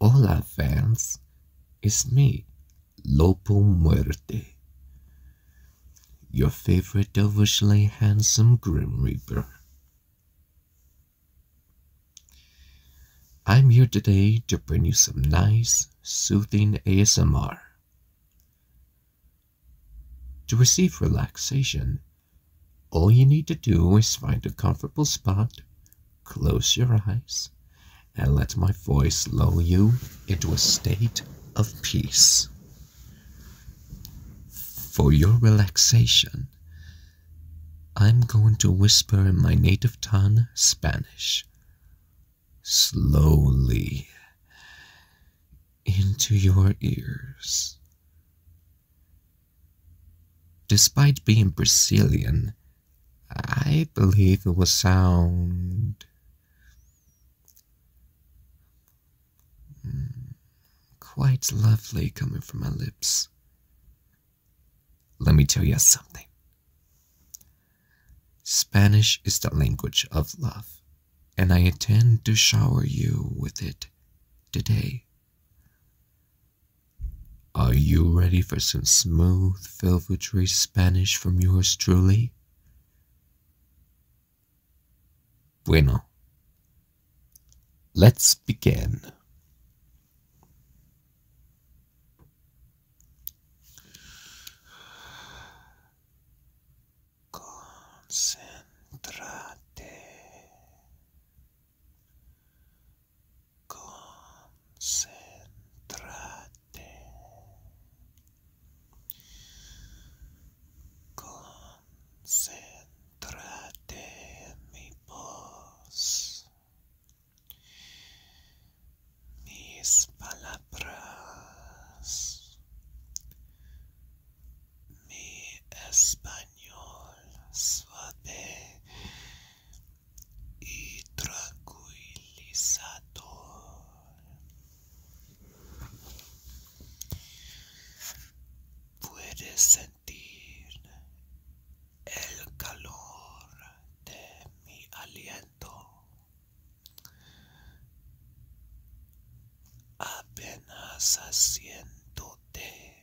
Hola fans, it's me, Lopo Muerte, your favorite devilishly handsome Grim Reaper. I'm here today to bring you some nice, soothing ASMR. To receive relaxation, all you need to do is find a comfortable spot, close your eyes, and let my voice lull you into a state of peace. For your relaxation, I'm going to whisper in my native tongue, Spanish, slowly into your ears. Despite being Brazilian, I believe it will sound quite lovely coming from my lips. Let me tell you something. Spanish is the language of love, and I intend to shower you with it today. Are you ready for some smooth, velvety Spanish from yours truly? Bueno. Let's begin. Concentrate. Concéntrate. Concéntrate mi voz. Mis palabras. Mi español. suave y tranquilizador. Puedes sentir el calor de mi aliento. Apenas asiéndote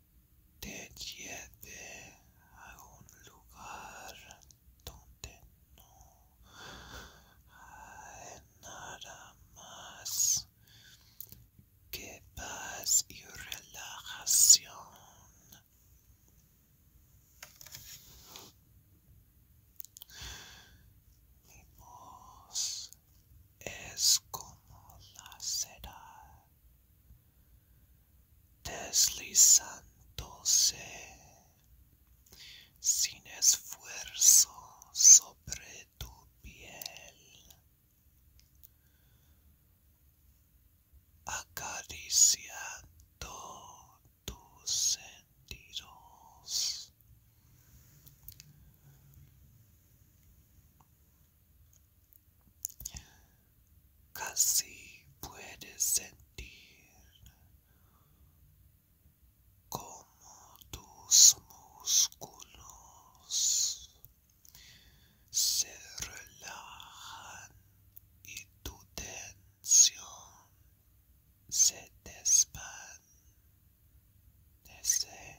te lleve a un lugar donde no hay nada más que paz y relajación. Mi voz es como la cera deslizándose sin esfuerzo sobre tu piel acariciando tus sentidos Casi puedes sentir como tus músculos se relajan y tu tensión se desvanece.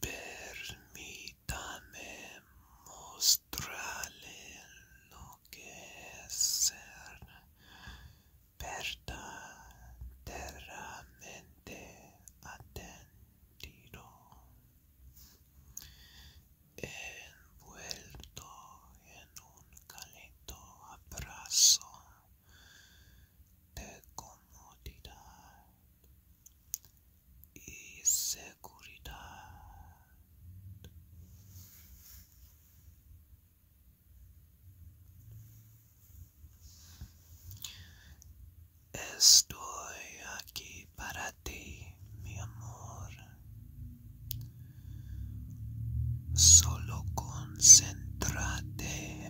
Permítame mostrarle lo que es ser verdaderamente atendido, envuelto en un calento abrazo de comodidad y seguridad. Estoy aquí para ti, mi amor. Solo concéntrate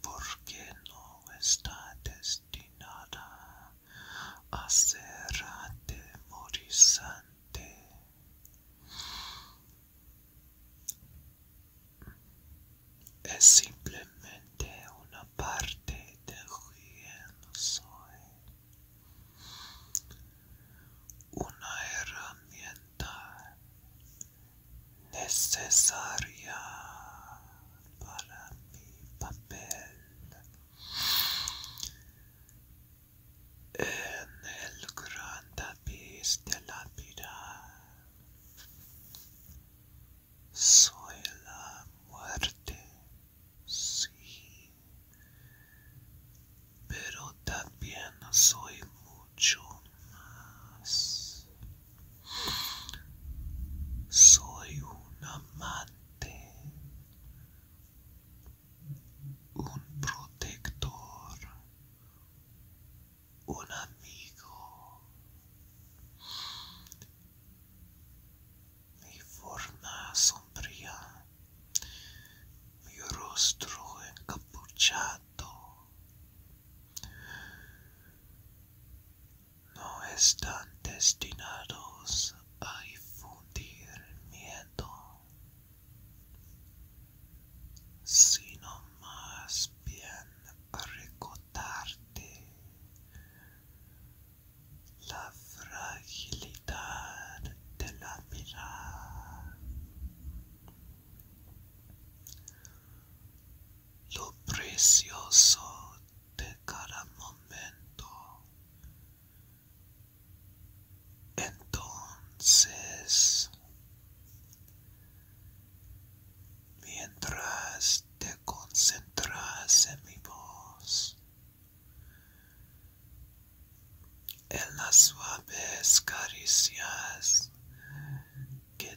porque no está destinada a ser atemorizante. Es simplemente una parte de quien soy. Una herramienta necesaria para mi papel en el gran de la vida soy la muerte sí pero también soy mucho Soy un amante, un protector, un amigo. Mi forma sombría, mi rostro encapuchado no están destinados a difundir miedo, sino más bien a recordarte la fragilidad de la mirada lo precioso de cada momento. Entonces, mientras te concentras en mi voz, en las suaves caricias que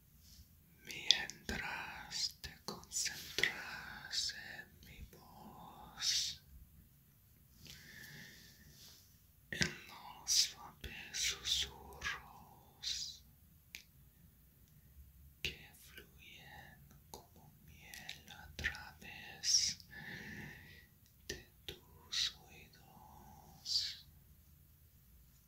mientras te concentras en mi voz, en los suaves susurros que fluyen como miel a través de tus oídos.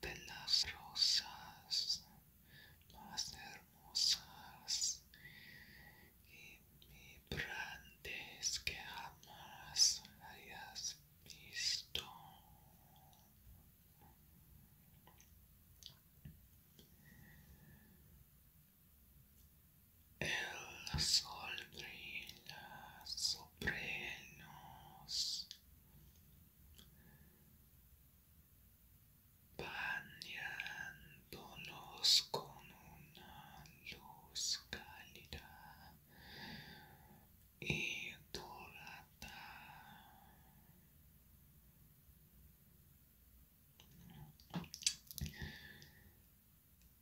de las rosas más hermosas y vibrantes que jamás hayas visto. El sol brilla sobre nos Bañándolos con una luz cálida y dorada.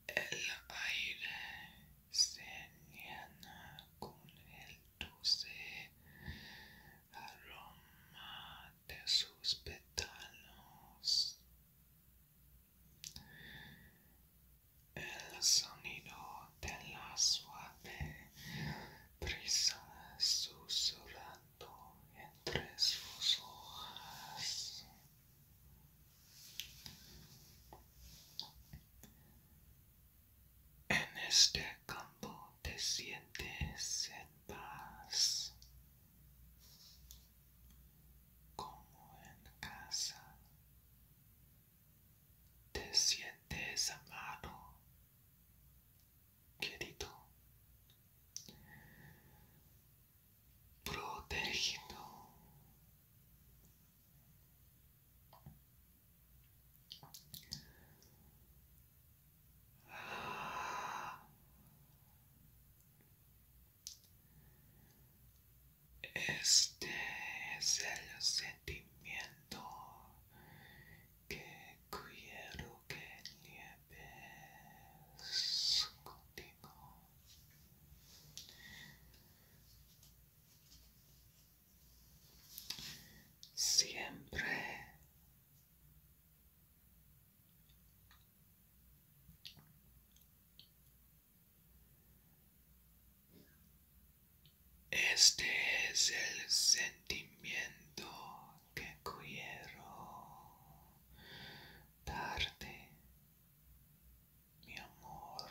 El aire se llena con el dulce aroma de sus pétalos. El sonido de la suave brisa susurrando entre sus hojas. En este campo te sientes en paz. Como en casa. Te sientes amado. Querido. Protegido. Este es el sentimiento que quiero que lleves contigo siempre este es el sentimiento que quiero darte mi amor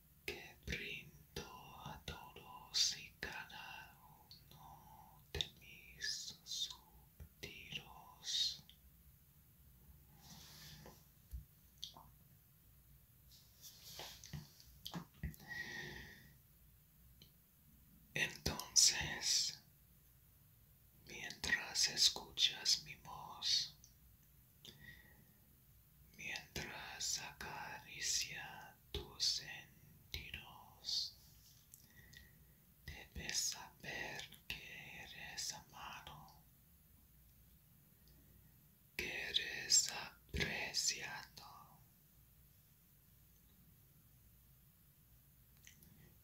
que brindo a todos y cada uno de mis subtiros. Entonces, mientras escuchas mi voz, mientras acaricia tus sentidos. Debes saber que eres amado, que eres apreciado,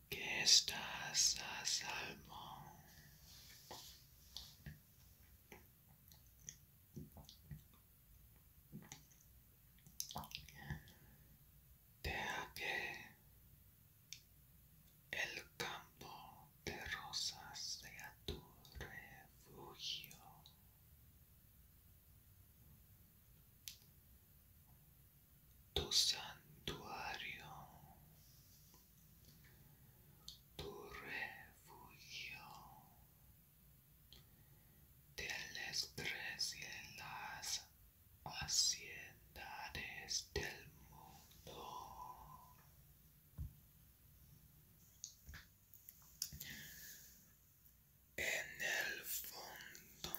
que estás a salvo. Deja que el campo de rosas sea tu refugio. Tu santuario tu refugio del estrés y las haciendas del mundo. En el fondo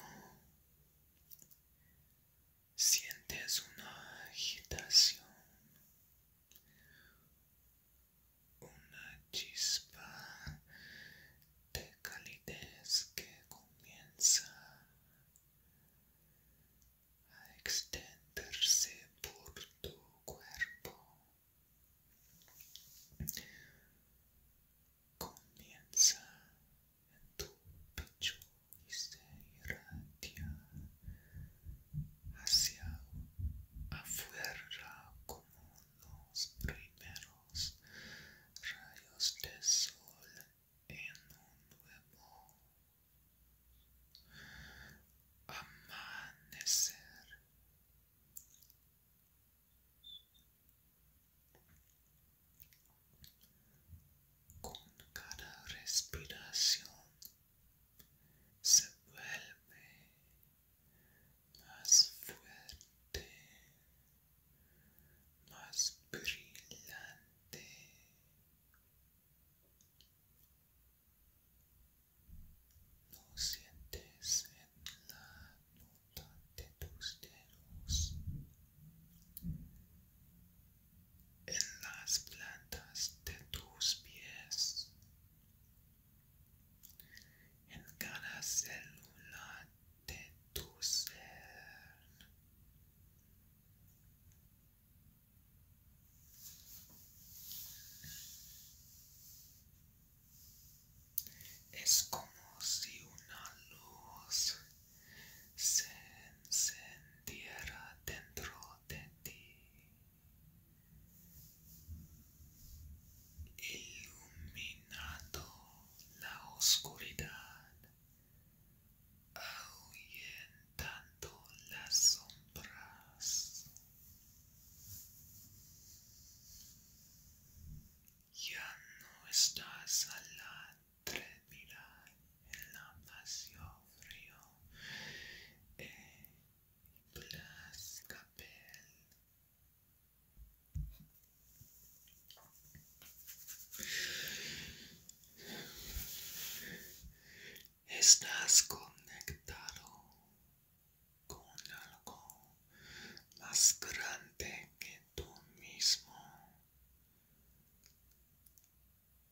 sientes una agitación una chispa de calidez que comienza a extenderse por tu cuerpo. Comienza en tu pecho y se irradia hacia afuera como los primeros rayos de sol en un nuevo amanecer. Con cada respiración se vuelve más fuerte, más brillante. Lo sientes en la nota de tus dedos, en las plantas de tus pies en cada célula de tu ser. Es como si una luz se encendiera dentro de ti. Iluminando la oscuridad, ahuyentando las sombras. Ya no estás al atrevida en la pasión frío. Estás conectado con algo más grande que tú mismo.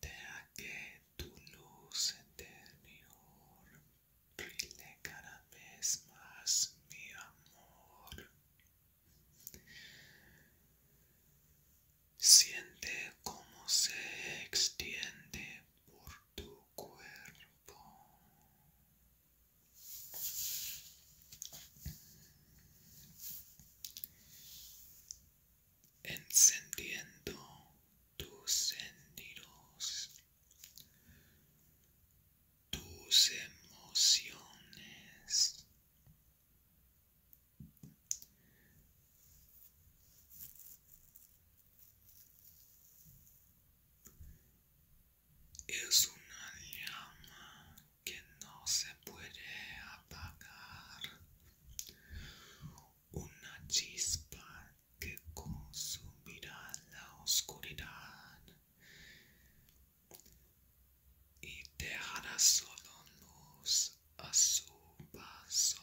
Deja que tu luz interior brille cada vez más, mi amor. Siente cómo se extiende por tu cuerpo encendiendo tus sentidos, tus emociones. Es una llama que no se puede apagar. Una chispa que consumirá la oscuridad y dejará solo luz a su paso.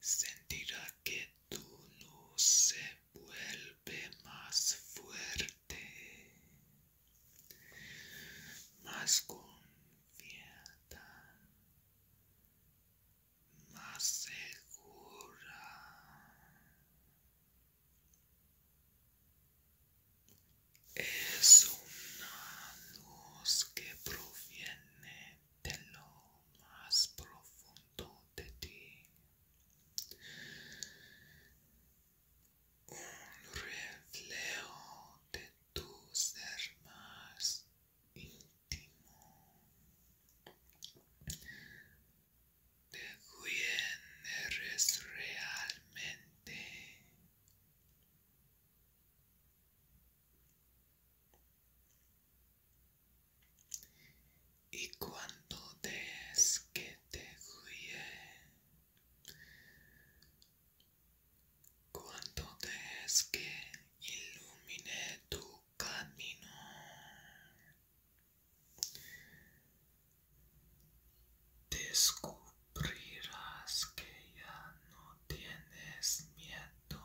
sentirá que tu luz se vuelve más fuerte, más confiada, más segura. Es una luz que proviene de lo más profundo de ti. Un reflejo de tu ser más íntimo. De quién eres realmente. Y cuando des que te guíe, cuando des que ilumine tu camino. Descubrirás que ya no tienes miedo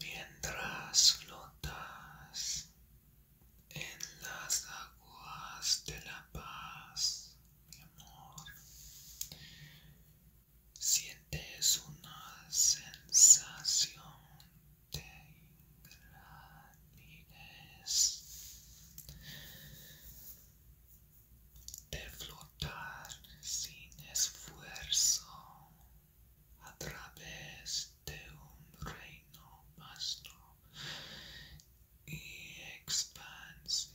Mientras flotas en las aguas de la paz, mi amor, sientes una sensación de flotar sin esfuerzo a través de un reino vasto y expansivo.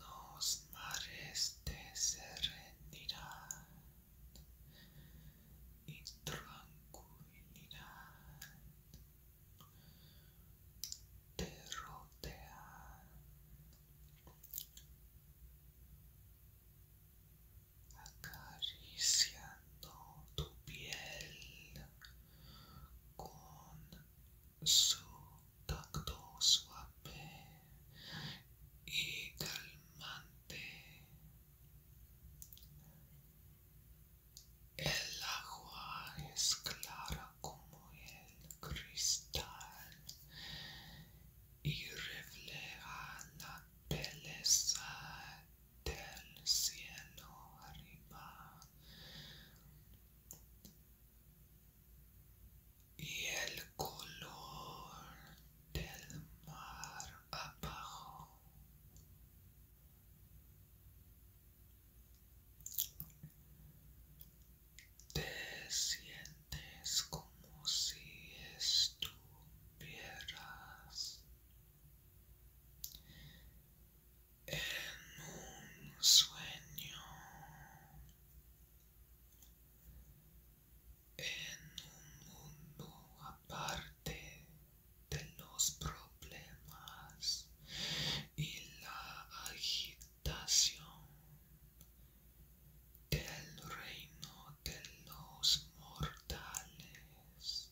Los mares de serenidad y tranquilidad te rodean. Acariciando tu piel con su tacto suave y calmante. El agua es clara como el cristal y refleja la belleza del cielo arriba y el color del mar abajo. Te sientes como si estuvieras en un sueño en un mundo aparte de los problemas y la agitación del reino de los mortales.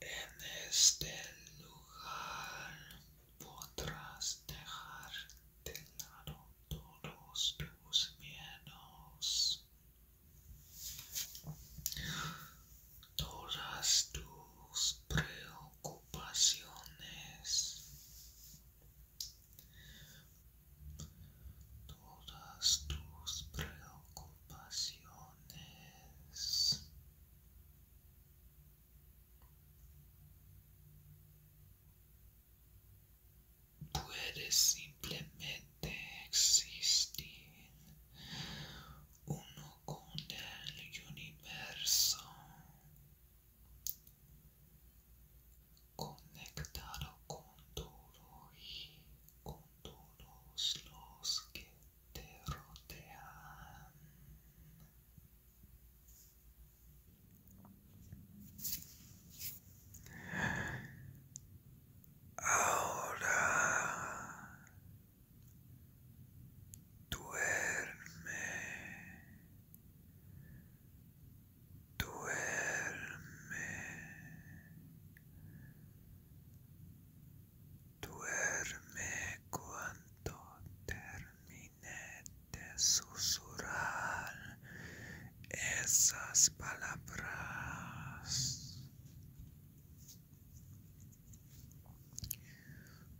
En este lugar podrás dejar de lado todos tus miedos. Todas tus preocupaciones, todas tus preocupaciones, Puede simplemente existir uno con el universo, conectado con todo y con todos los que te rodean. Ahora duerme, duerme, duerme cuanto te terminé de susurrar esas palabras.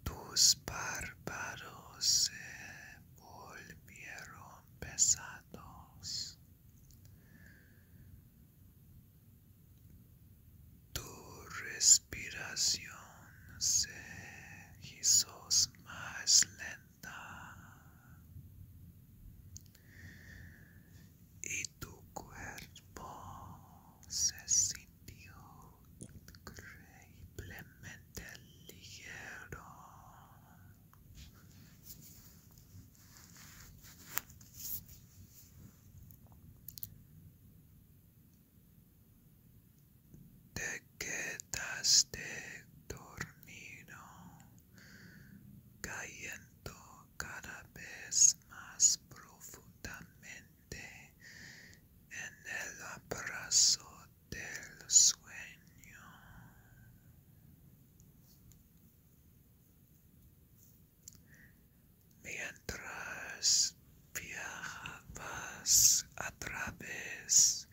Tus párpados se volvieron pesados. Tu respiración se hizo más lenta y tu cuerpo se sintió increíblemente ligero te quedaste dormido, cayendo cada vez más profundamente en el abrazo del sueño. Mientras viajabas a través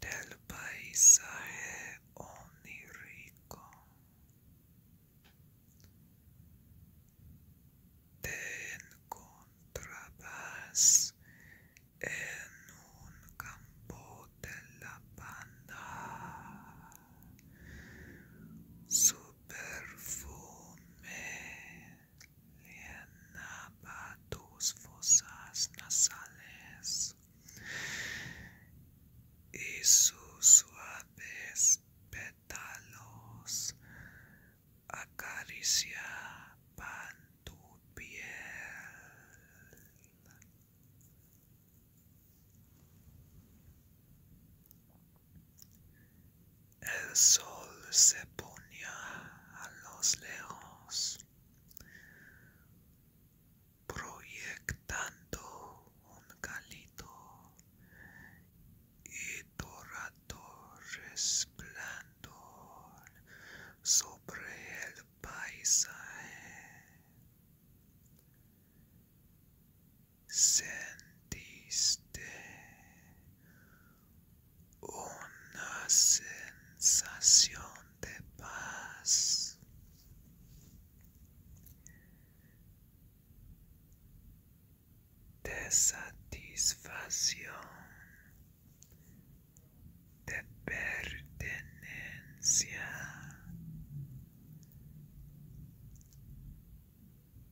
del paisaje onírico. Te encontrabas en un campo de la banda. Su tus fosas nasales y sus suaves pétalos acariciaban tu piel. El sol se ponía a los lejos, proyectando un calito y dorado resplandor sobre el paisaje. Sentiste una sensación de paz de satisfacción de pertenencia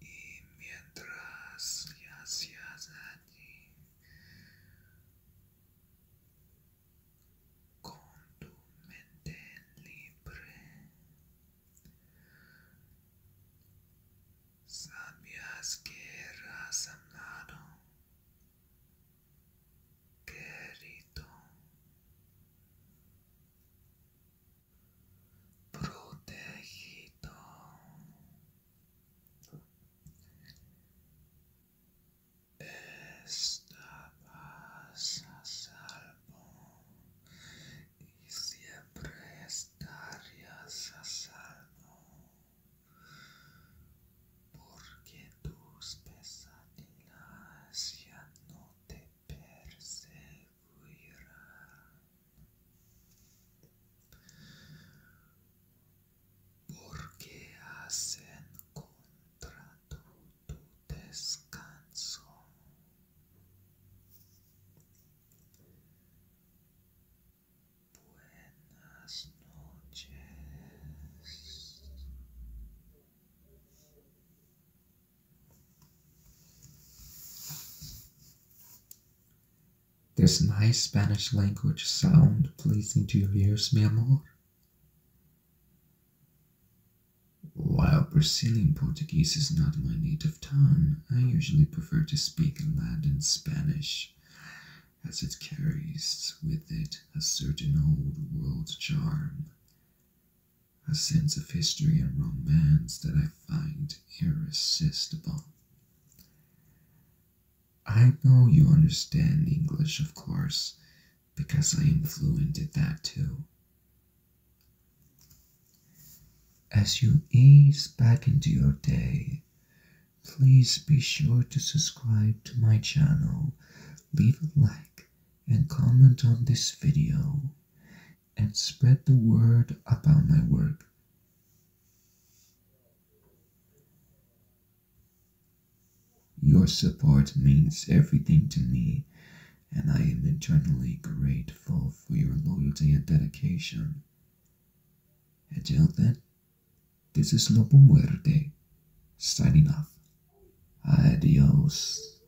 e mientras le hacías allí com tu mente libre, sabias que era amado, querido. Protegito estabas a salvo y siempre estarías a salvo porque tus pesadillas ya no te persiguen porque hacen contra tu descanso. Buenas noches. Does my Spanish language sound pleasing to your ears, mi amor. While Brazilian Portuguese is not my native tongue, I usually prefer to speak Latin Spanish, as it carries with it a certain old world charm a sense of history and romance that I find irresistible. I know you understand English, of course, because I am fluent at that too. As you ease back into your day, please be sure to subscribe to my channel, leave a like, and comment on this video and spread the word about my work. Your support means everything to me, and I am eternally grateful for your loyalty and dedication. Until then, this is Lobo Muerte, signing off. Adios.